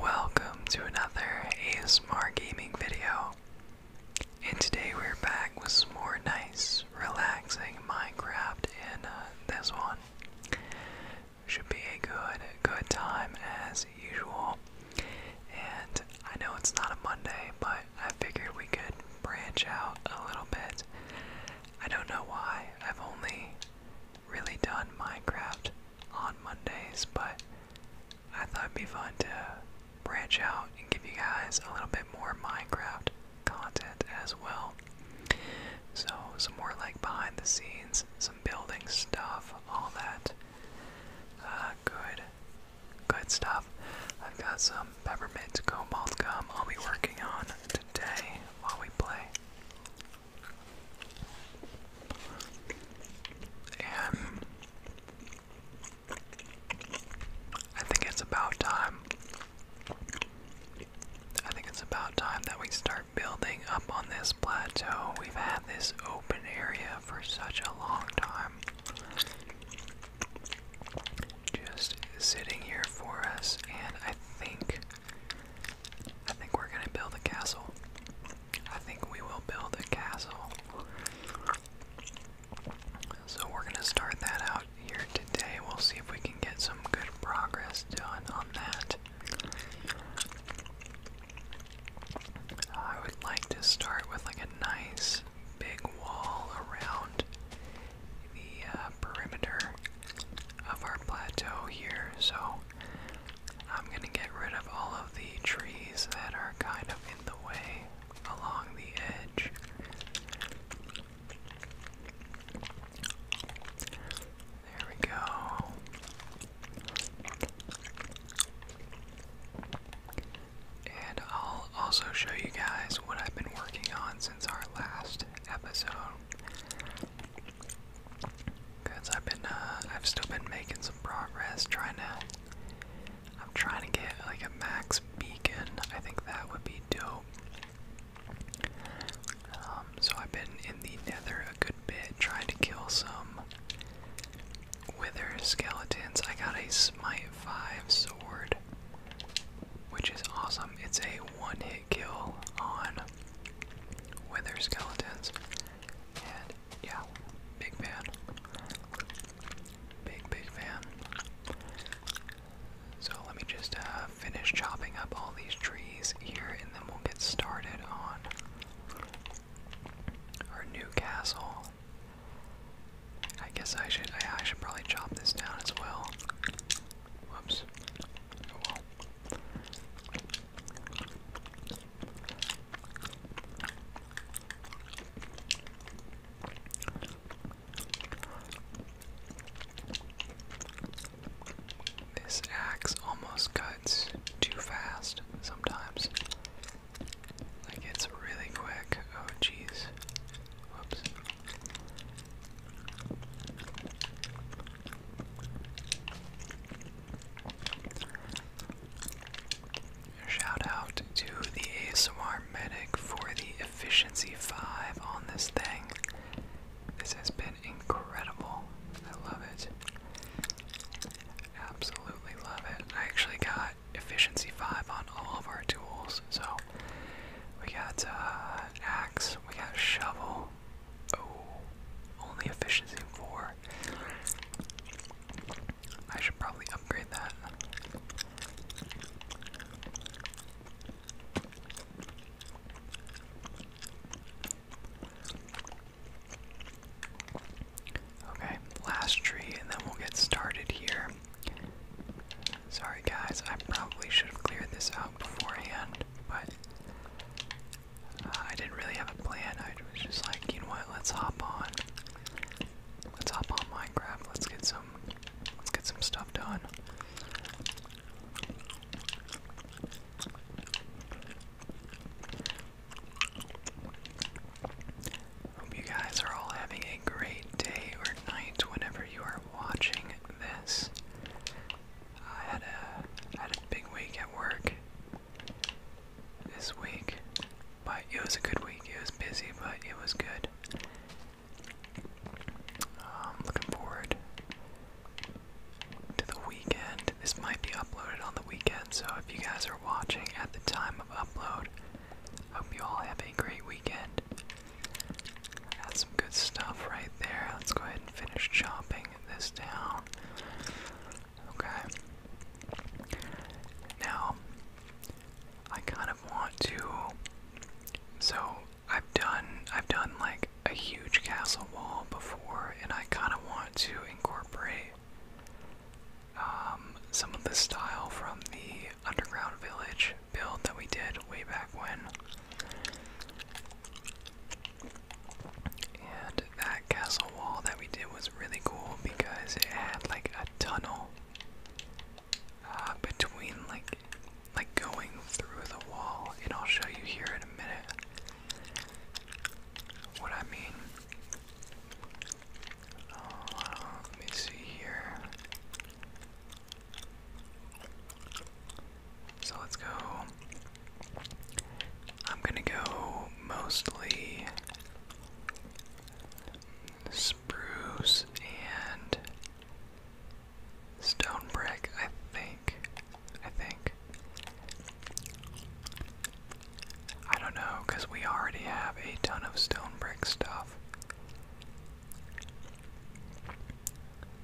Welcome to another ASMR gaming video. And today we're back with some more nice, relaxing Minecraft in uh, this one. Should be a good, good time as usual. And I know it's not a Monday, but I figured we could branch out a little bit. I don't know why. I've only really done Minecraft on Mondays, but I thought it'd be fun to branch out and give you guys a little bit more Minecraft content as well. So, some more like behind the scenes, some building stuff, all that uh, good, good stuff. I've got some peppermint cobalt gum I'll be working on today while we play and I think it's about time. I think it's about time that we start building up on this plateau. We've had this open area for such a long time. Just sitting here for us, and I think I think we're gonna build a castle. I think we will build a castle. So we're gonna start that out here today. We'll see if we can get some good progress done on that. I would like to start with like a nice big wall around the uh, perimeter of our plateau here so I'm gonna get rid of all of the trees that are kind of in the way along the edge. There we go. And I'll also show you guys what I've been working on since our last episode. Cause I've been, uh, I've still been making some progress trying to. I'm trying to get like a max beacon. I think that would be dope. Um, so I've been in the Nether a good bit, trying to kill some wither skeletons. I got a smite five sword, which is awesome. It's a one-hit kill on wither skeletons. And yeah, big fan. Big, big fan. So let me just uh, finish chopping up all these trees here and then we'll get started on our new castle. I guess I should I, should probably chop this down as well. Whoops. Oh, well. This axe almost cuts too fast sometimes. Like it's really quick. Oh, jeez. Whoops. Shout out to the ASMR Medic for the efficiency 5 on this thing. This has been incredible. I love it. Absolutely love it. I actually got efficiency 5 on all of our tools. So we got uh, axe, we got shovel, Oh, only efficiency 4. I should probably upgrade that. Okay, last tree, and then we'll get started here. Sorry, guys, I probably should have cleared this out beforehand but uh, I didn't really have a plan. I was just like, you know what? Let's hop on. Let's hop on Minecraft. Let's get some. Let's get some stuff done. Hope you guys are all having a great day or night whenever you are watching this. I had a I had a big week at work this week, but it was a good week. It was busy, but it was good. Um, looking forward to the weekend. This might be uploaded on the weekend, so if you guys are watching at the time of upload, hope you all have a great weekend. Got some good stuff right there. Let's go ahead and finish chopping this down. Okay. Now, I kind of want to. So I've done I've done like a huge castle wall before, and I kind of want to incorporate um, some of the style from the underground village build that we did way back when. And that castle wall that we did was really cool because it had like a tunnel uh, between like like going through the wall, and I'll show you here in a minute what I mean. Uh, let me see here. So let's go. I'm gonna go mostly spruce and stone brick, I think. I think. I don't know, because we already have a ton of stone brick stuff.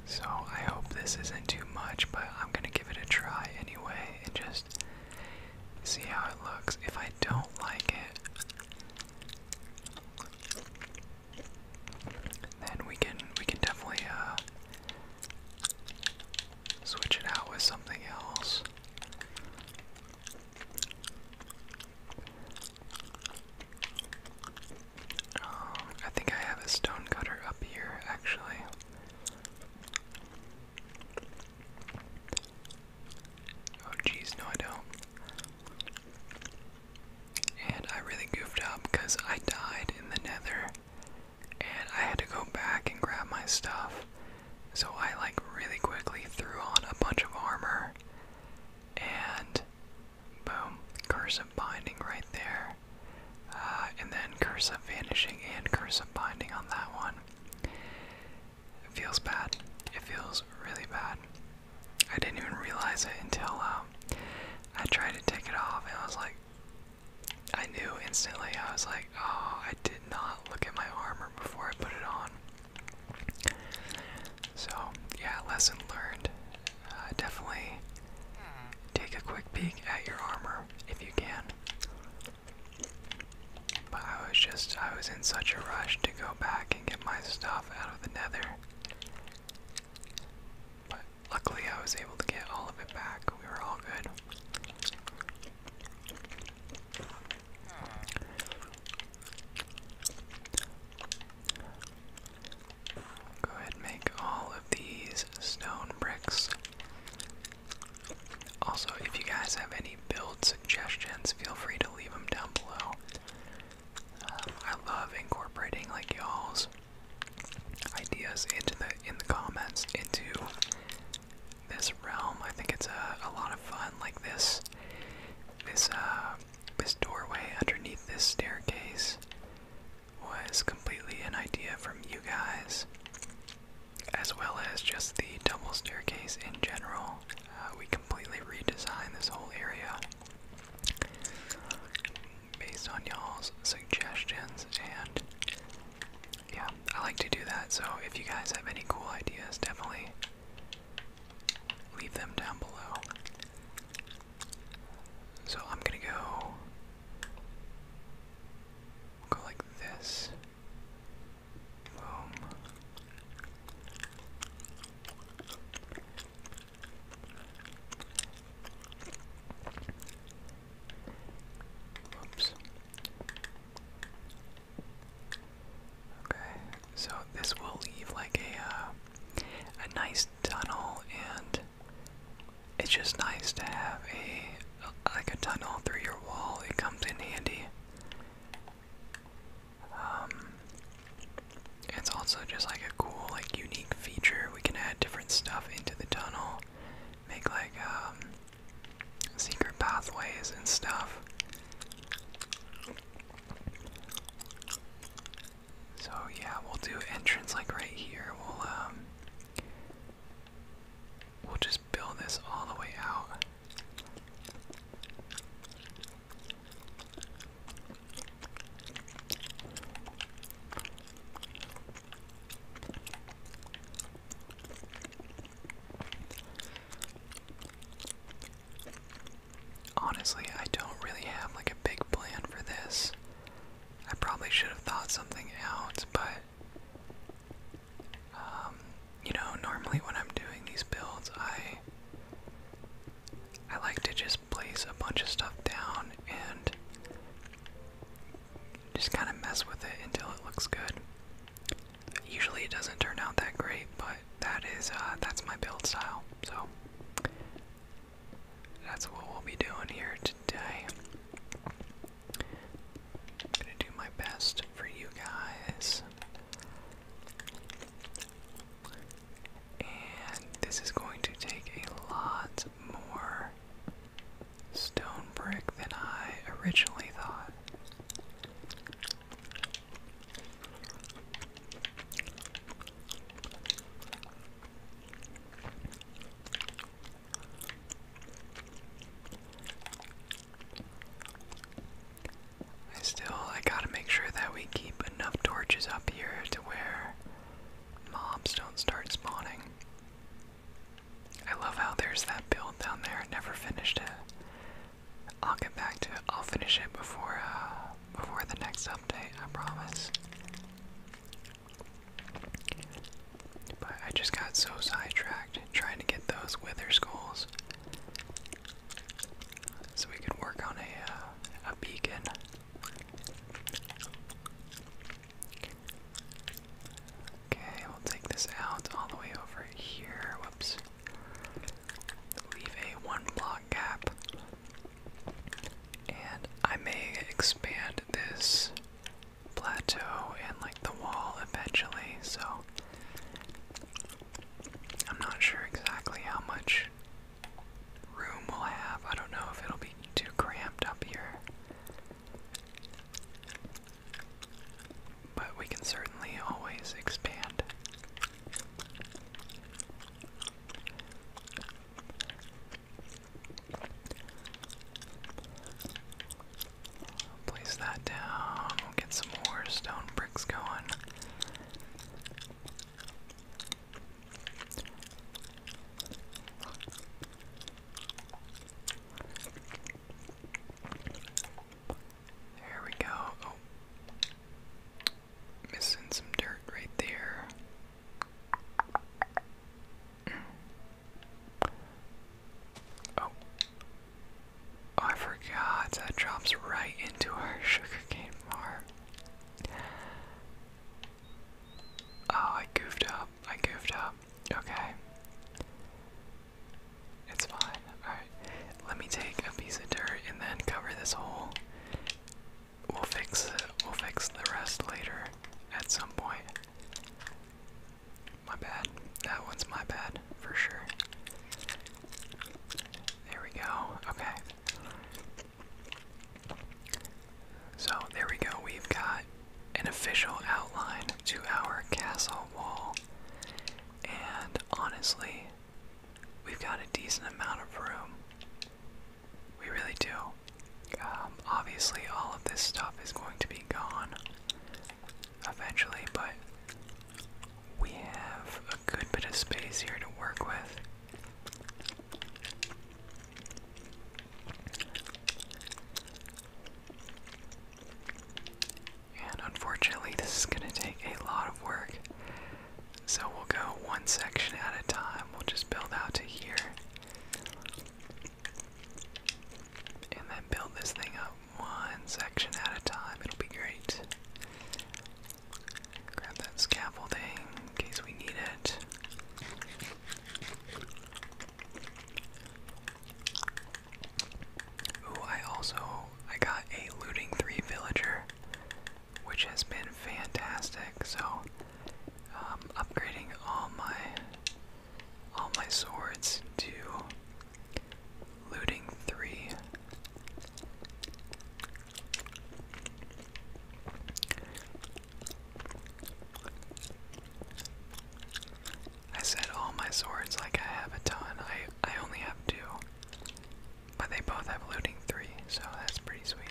So I hope this isn't too much, but I'm gonna give it a try anyway and just see how it looks. If I don't like it, then we can we can definitely uh, switch it out with something else. Um, I think I have a stone cutter up here, actually. Oh, jeez, no, I don't. And I really goofed up because I died in the nether. And I had to go back and grab my stuff. So I, like, really quickly threw on a bunch of armor. And Boom. Curse of Binding right there. Uh, and then Curse of Vanishing and Curse of Binding on that one. It feels bad. It feels really bad. I didn't even realize it until um, I tried to take it off, and I was like, I knew instantly. I was like, oh, I did not look at my armor before I put it on. So, yeah, lesson learned. Uh, definitely take a quick peek at your armor if you can. But I was just, I was in such a rush to go back and get my stuff out of the nether. But luckily I was able to get all of it back. We were all good. Go ahead and make all of these stone bricks. Also, if you guys have any build suggestions, feel free to leave them down below. Um, I love incorporating like y'all's ideas into the in the comments into this realm. I think it's a, lot of fun. Like this, this uh, this doorway underneath this staircase was completely an idea from you guys, as well as just the double staircase in general. Uh, we completely redesigned this whole area based on y'all's suggestions, and yeah, I like to do that. So if you guys have any cool ideas, definitely leave them down below. So I'm gonna go. go like this. Oops. Okay, so this will leave like a uh, a nice tunnel and it's just nice to have a like a tunnel through your wall. It comes in handy. Um, it's also just like a cool, like unique feature. We can add different stuff into the tunnel, make like um, secret pathways and stuff. So yeah, we'll do entrance like right here. We'll um we'll just build this all the way out. Honestly, I don't really have like a big plan for this. I probably should have thought something out, but um, you know, normally when I'm doing these builds, I I like to just place a bunch of stuff down and just kind of mess with it until it looks good. Usually it doesn't turn out that great, but that is uh, that's my build style. So that's what we'll be doing here today. I'm gonna do my best for you guys. And this is going to take a lot more stone brick than I originally thought. I still, I gotta make sure that we keep enough torches up here to where mobs don't start spawning. I love how there's that build down there. I never finished it. I'll get back to it. I'll finish it before uh, before the next update, I promise. But I just got so sidetracked trying to get those wither skulls. So we could work on a, uh, a beacon. Okay, we'll take this out all the way over here. Whoops. Leave a one block gap. And I may expand this plateau and like the wall eventually, so I'm not sure exactly how much room we'll have. I don't know if it'll be too cramped up here. But we can certainly always expand. Place that down. We'll get some more stone bricks going. There we go. Oh, Missing some dirt right there. Oh. oh. I forgot. That drops right into our sugarcane farm. Oh, I goofed up. I goofed up. Okay. It's fine. Alright. Let me take a piece of dirt and then cover this hole. We'll fix it. We'll fix the rest later at some point. My bad. That one's my bad for sure. There we go. Okay. So there we go. We've got an official outline to our castle wall. And honestly, we've got a decent amount of room we really do. Um, obviously, all of this stuff is going to be gone eventually, but we have a good bit of space here to work with. And unfortunately, this is going to take a lot of work so we'll go one section at a time. We'll just build out to here. And then build this thing up one section at a time. It'll be great. Grab that scaffolding in case we need it. Ooh, I also I got a looting three villager which has been fantastic. So, um, upgrading all my all my swords to looting three. I said all my swords like I have a ton. I I only have two. But they both have looting three, so that's pretty sweet.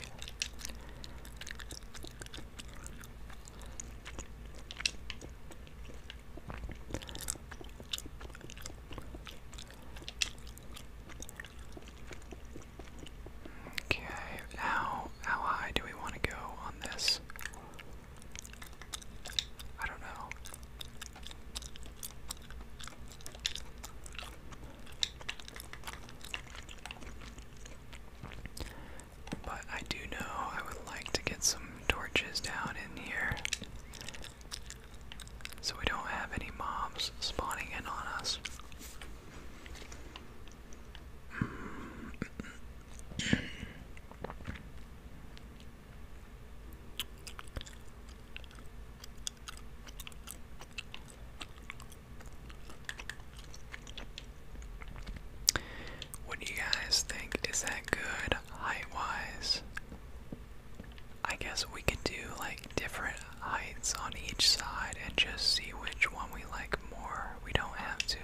Okay, how how high do we want to go on this? I don't know. But I do know I would like to get some torches down in here. So we don't have any mobs spawning in on us. What do you guys think? Is that good height wise? I guess we could do like different heights on each side and just see which one we like more. We don't have to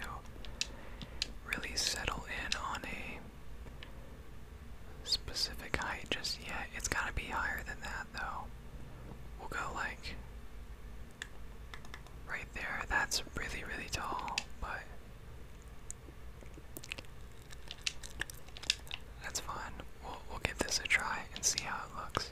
really settle in on a specific height just yet. It's gotta be higher than that though. We'll go like right there. That's really, really tall, but that's fine. we'll give this a try and see how it looks.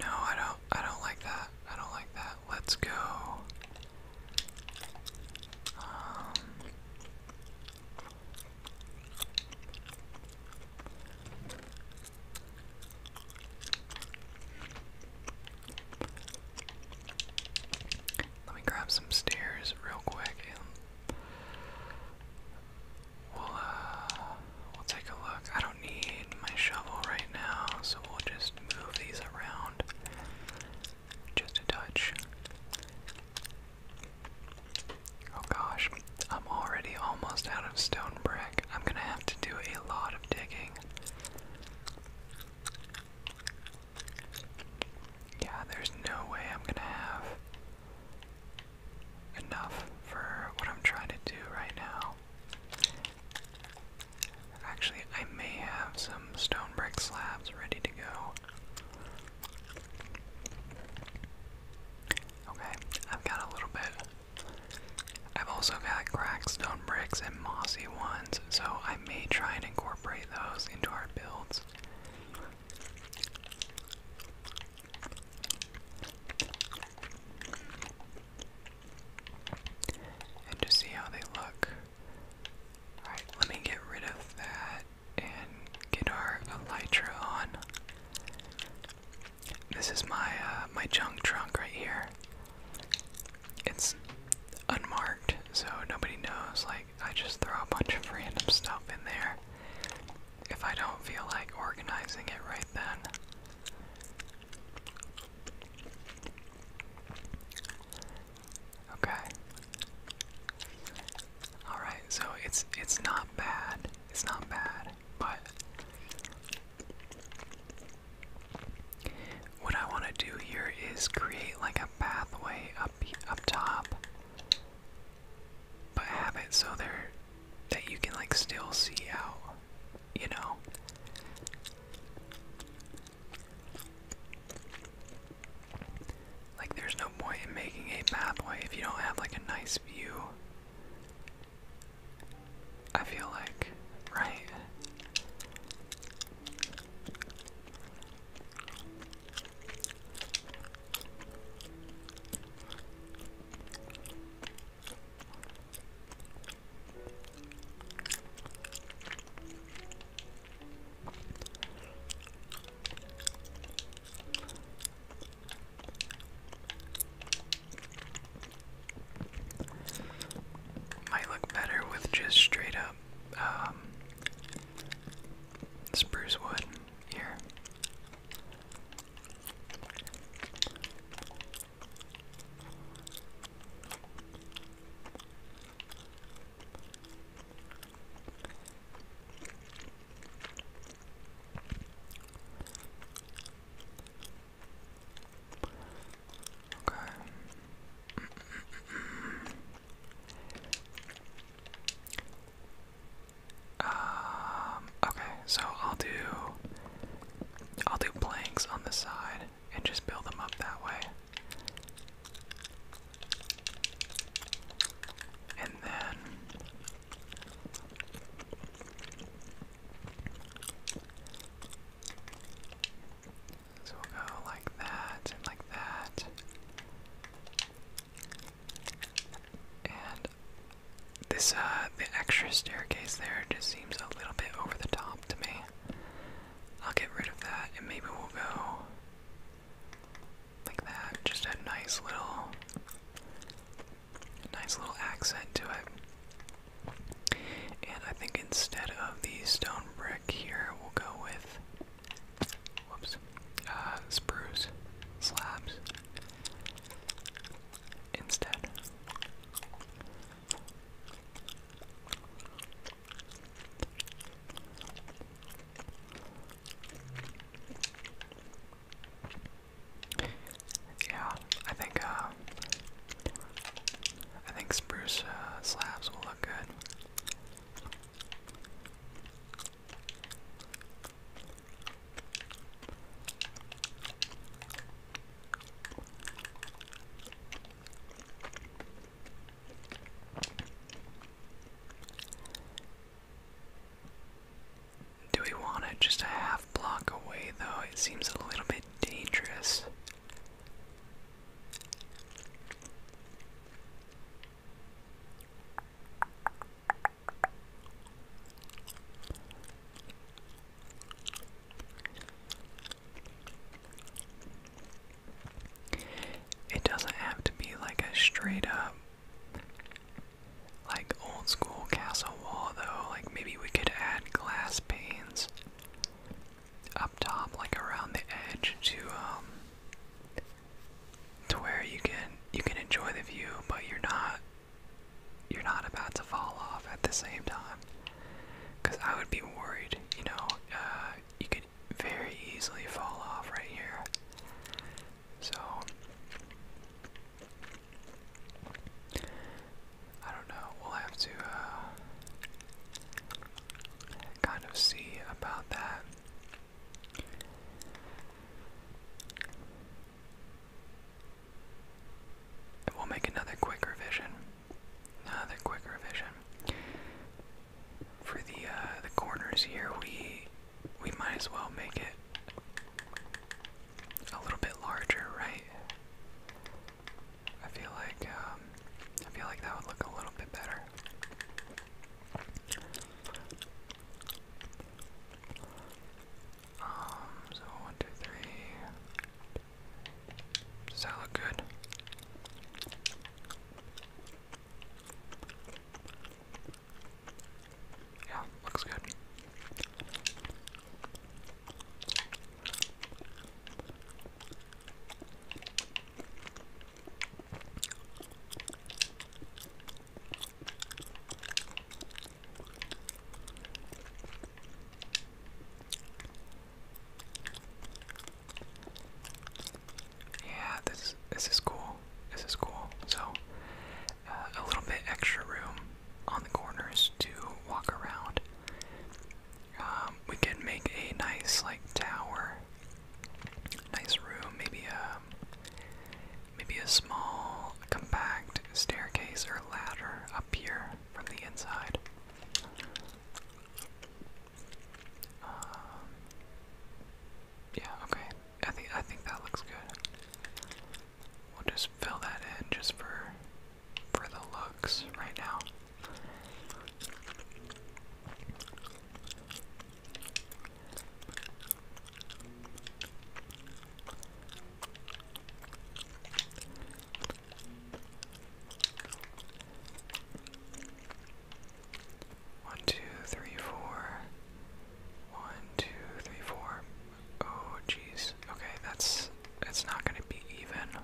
No, I don't I don't like that. I don't like that. Let's go. Let me grab some stairs real quick and we'll uh, we'll take a look. I don't need my shovel right now, so we'll just move these around just a touch. Oh gosh, I'm already almost out of stone brick. I'm gonna have to do a lot of digging. Yeah, there's no way I'm gonna have enough for what I'm trying to do right now. Actually, I may have some stone brick slabs ready to go. Okay, I've got a little bit. I've also got cracked stone bricks and mossy ones, so I may try and incorporate incorporate those into our builds. And just see how they look. Alright, let me get rid of that and get our elytra on. This is my uh, my junk trunk right here it's unmarked, so nobody knows. Like, I just throw a bunch of random stuff in there if I don't feel like organizing it right then. Okay. All right, so it's it's not bad. It's not bad, but what I want to do here is create like a pathway up up top, but have it so there that you can like still see out, you know. Like there's no point in making a pathway if you don't have like a nice view. I feel like, right? Might look better with just straight up um, spruce wood here. Okay. Um, okay, so I'll do I'll do planks on the side and just build them up that way. And then so we'll go like that and like that. And this, uh, the extra staircase there just seems a little bit over the top to me. I'll get rid of that and maybe we'll go like that. Just a nice little, nice little accent to it. And I think instead of the stone brick here, we'll go with whoops, uh, spruce slabs instead. Yeah, I think uh, I think spruce uh, slabs will look good. Do we want it just a half block away, though? It seems a little bit dangerous. It doesn't have to be like a straight up, like old school castle wall, though. Like maybe we could add glass panes up top, like around the edge, to um, to where you can you can enjoy the view, but you're not you're not about to fall off at the same time. Cause I would be worried, you know, uh, you could very easily fall off right here. So I don't know. We'll have to uh, kind of see about that. we'll make another quick revision. Another quick revision. For the uh, the corners here, we we might as well make it a little bit larger, right? I feel like um, I feel like that would look a little bit better. Um, so one, two, three. Does that look good? Yeah, looks good. Yeah, this this is cool. This is cool. So, uh, a little bit extra room on the corners to walk around. Um, we can make a nice like tower, nice room, maybe a um, maybe a small compact staircase or ladder up here from the inside. Um, yeah, okay. I think I think that looks good. We'll just fill that in just for for the looks right now. One, two, three, four. One, two, three, four. Oh, jeez. Okay, that's. It's not gonna be even.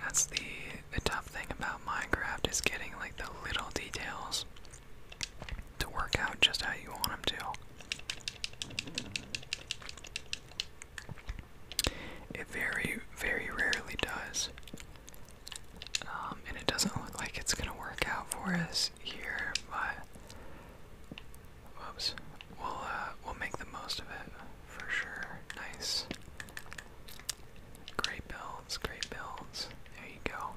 That's the tough thing about Minecraft is getting like the little details to work out just how you want them to. It very, very rarely does. Um, and it doesn't look like it's going to work out for us here, but. Whoops. We'll, uh, we'll make the most of it for sure. Nice. Great builds, great builds. There you go.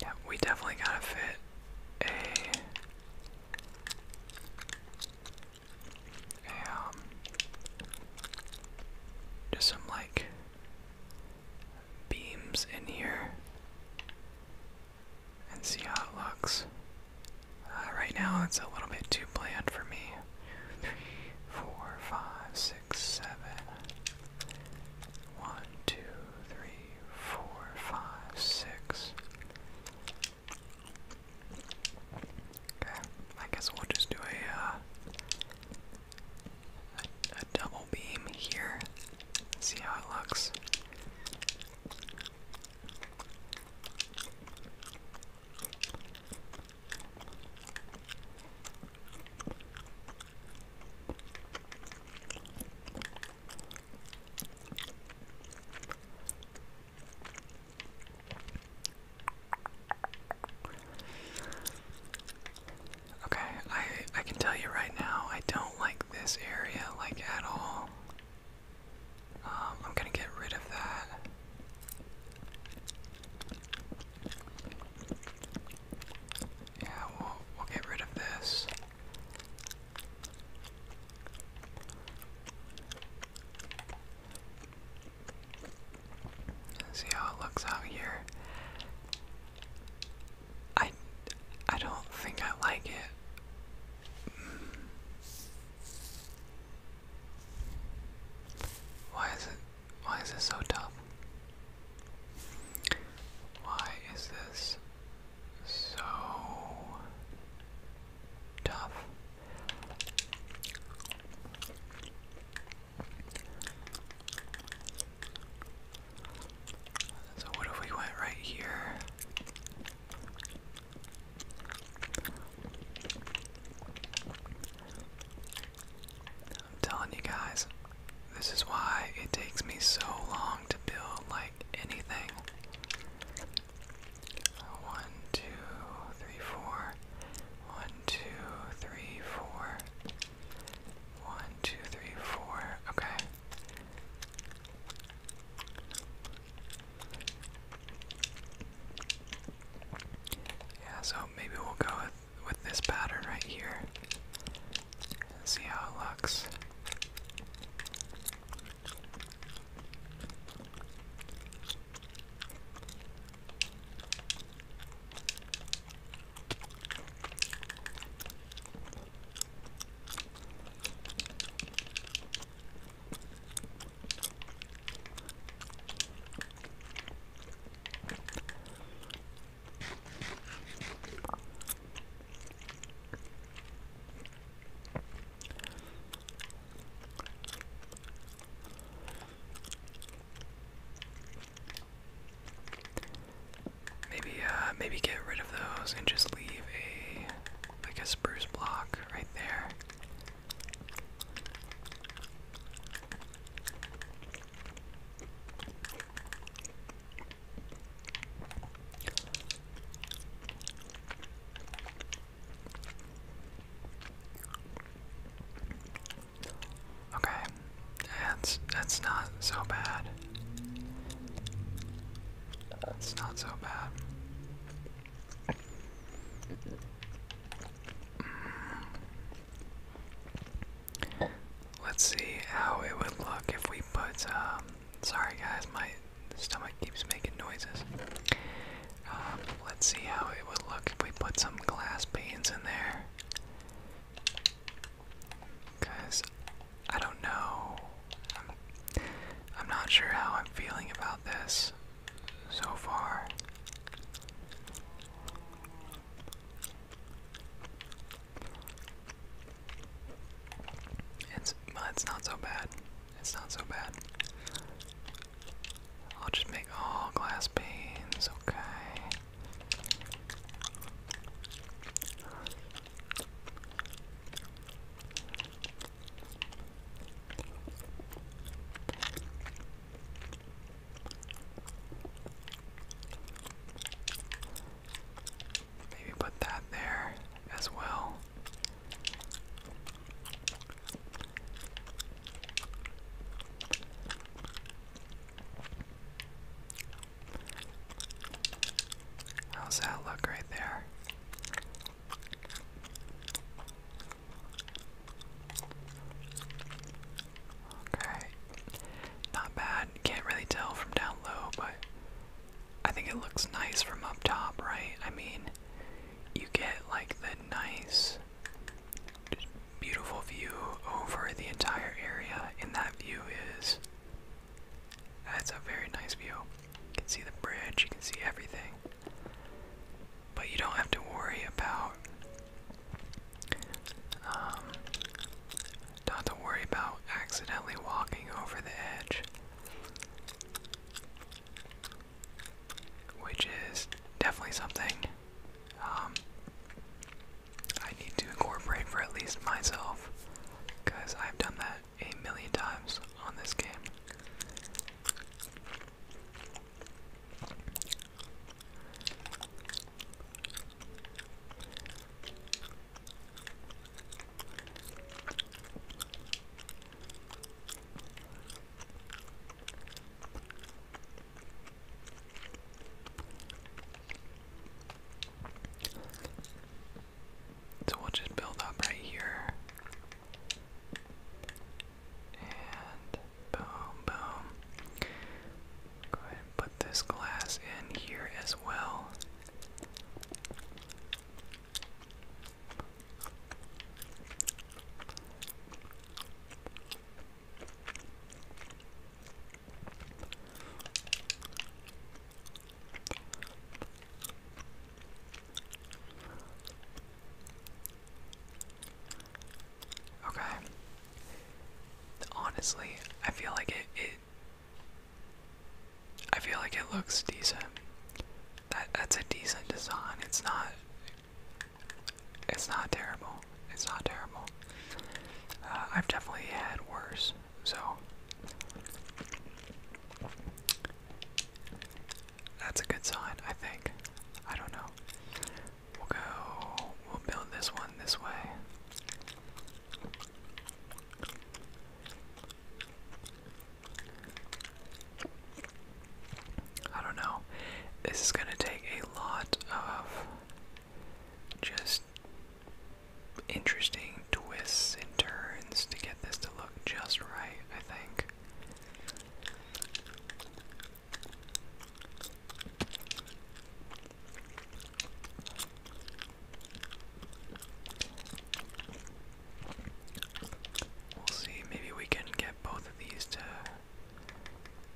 Yeah, we definitely gotta fit a a um just some like beams in here and see how it looks. Uh, right now it's a little bit too bland for me. Three, four, five, six, seven. One, two, three, four, five, six. Okay, I guess we'll just do a, uh, a double beam here. See how it looks. Okay, I I can tell you right now, I don't like this area like at all. Um, I'm gonna get rid of that. Yeah, we'll, we'll get rid of this. see how it looks out here. I, I don't think I like it. Why is it? Why is this so tough? Why is this so tough? So, what if we went right here? I'm telling you guys, this is why it takes me so long to build like anything. One, two, three, four. One, two, three, four. One, two, three, four. Okay. Yeah, so maybe we'll go with with this pattern right here. See how it looks. Maybe, uh, maybe get rid of those and just leave a, like a spruce block right there. Okay, that's that's not so bad. It's not so bad. Let's see how it would look if we put. Um, sorry, guys, my stomach keeps making noises. Um, let's see how it would look if we put some glass panes in there. Because I don't know. I'm not sure how I'm feeling about this so far. It's well, it's not so bad. It's not so bad. I'll just make all glass panes, okay. Maybe put that there as well. How's that look right there? Okay. Not bad. Can't really tell from down low, but I think it looks nice from up top, right? I mean, you get like the nice, beautiful view over the entire area, and that view is. That's a very nice view. You can see the bridge, you can see everything. But you don't have to worry about um, not to worry about accidentally walking over the edge, which is definitely something um, I need to incorporate for at least myself, because I've done that a million times on this game. So we'll just build up right here. And boom, boom. Go ahead and put this glass in here as well. Okay. Honestly, I feel like it, I feel like it looks decent. That that's a decent design. It's not it's not terrible. It's not terrible. Uh, I've definitely had worse, so that's a good sign, I think. I don't know. We'll go. We'll build this one this way. I don't know. This is going to take a lot of just interesting twists and turns to get this to look just right, I think. We'll see, maybe we can get both of these to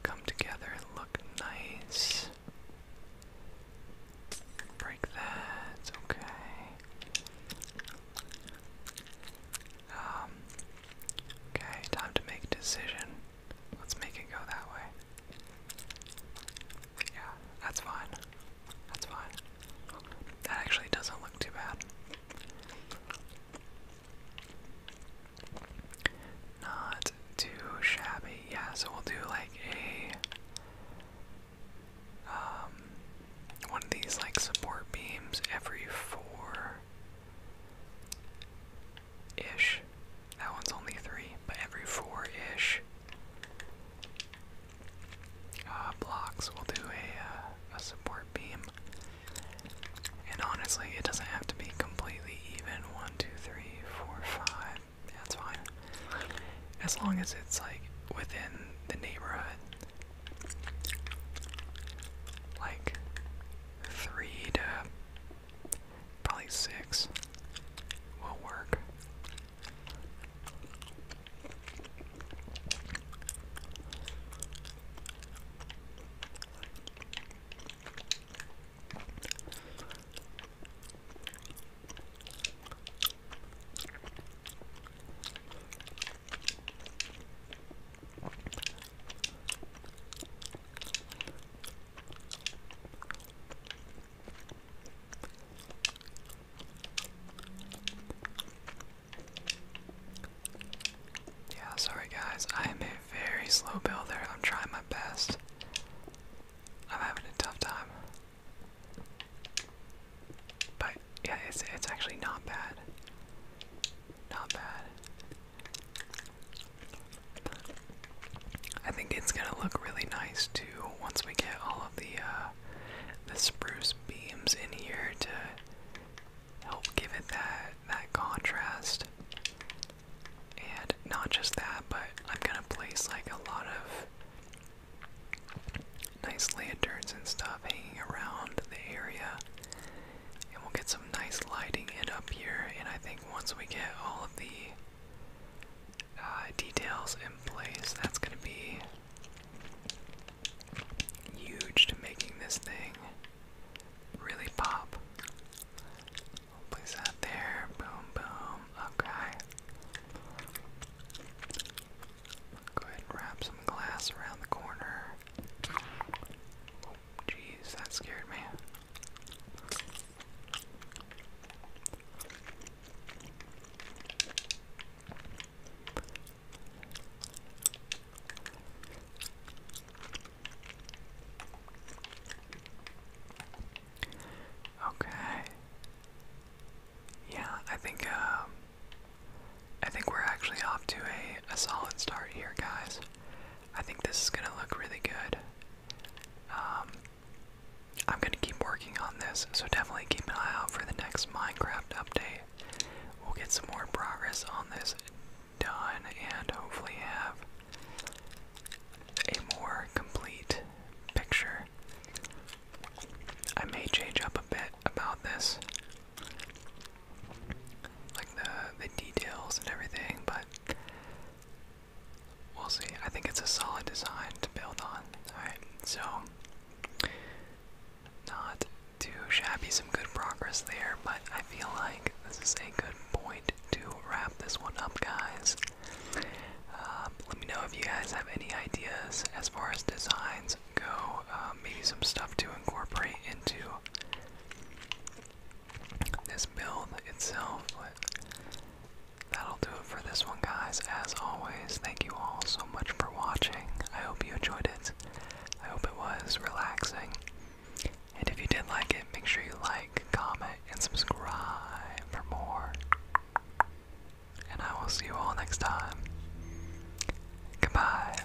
come together and look nice. Break that, okay. Um, okay, time to make decision. Let's make it go that way. Yeah, that's fine. That's fine. That actually doesn't look too bad. Not too shabby. Yeah, so we'll do like a um one of these like support beams every four ish. That one's only three, but every four ish uh, blocks will do a, uh, a support beam. And honestly, it doesn't have to be completely even. One, two, three, four, five. That's fine. As long as it's like within the neighborhood. Like three to Probably six will work. Yeah, sorry guys, I am a very slow builder. I'm trying my best. I'm having a tough time. But yeah, it's it's actually not bad. Not bad. I think it's gonna look really nice too once we get all of the uh, the spruce beams in here to help give it that that contrast. And not just that, but I'm gonna place like a lot of nice lanterns and stuff hanging around the area. And we'll get some nice lighting in up here. And I think once we get all of the uh, details in place, that's going to be huge to making this thing really pop. place that there. Boom, boom. Okay. Go ahead and wrap some glass around the corner. Oh, jeez, that scared me. Okay. Yeah, I think um, I think we're actually off to a a solid start here, guys. I think this is gonna look really good. Um, I'm gonna keep working on this, so definitely keep an eye out for the next Minecraft update. We'll get some more progress on this done and hopefully have a more complete picture. I may change up a bit about this like the the details and everything, but we'll see. I think it's a solid design to build on. Alright, so not too shabby, some good progress there, but I feel like this is a good point to wrap this one up, guys. Um, let me know if you guys have any ideas as far as designs go, um, maybe some stuff to incorporate into this build itself, that'll do it for this one, guys. As always, thank you all so much for watching. I hope you enjoyed it. I hope it was relaxing. And if you did like it, make sure you like, comment, and subscribe for more. And I will see you all next time. Goodbye.